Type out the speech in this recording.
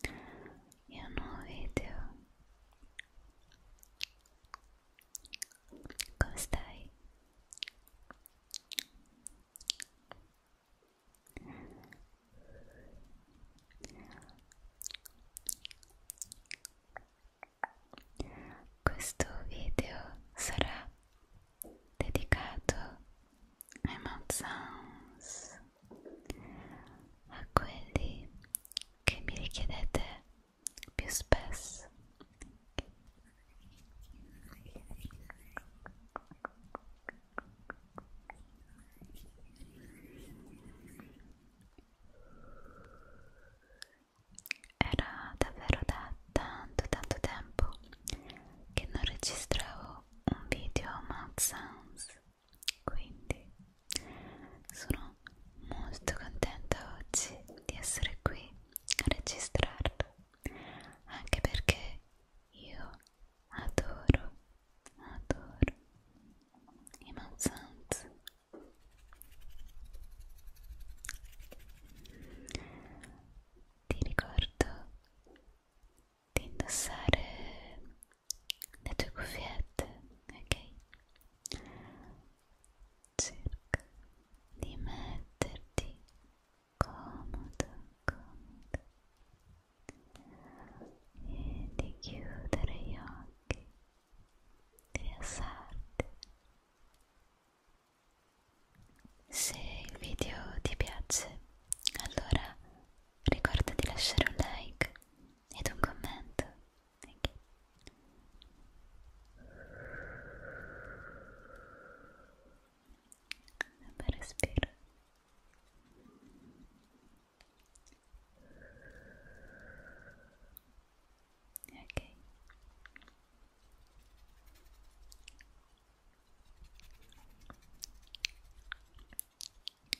e un nuovo video come stai? questo video sarà dedicato ai mouth sounds, a quelli che mi richiedete più spesso. Era davvero da tanto tanto tempo che non registravo un video mouth sounds quindi sono molto contenta oggi di essere qui a registrarlo anche perché io adoro adoro i mouth sounds ti ricordo di indossare le tue cuffiette, ok? Cerca di metterti comodo, comodo e di chiudere gli occhi, di rilassarti. Se il video ti piace, allora ricorda di lasciare un like ed un commento. Okay. Un bel respiro. Ok.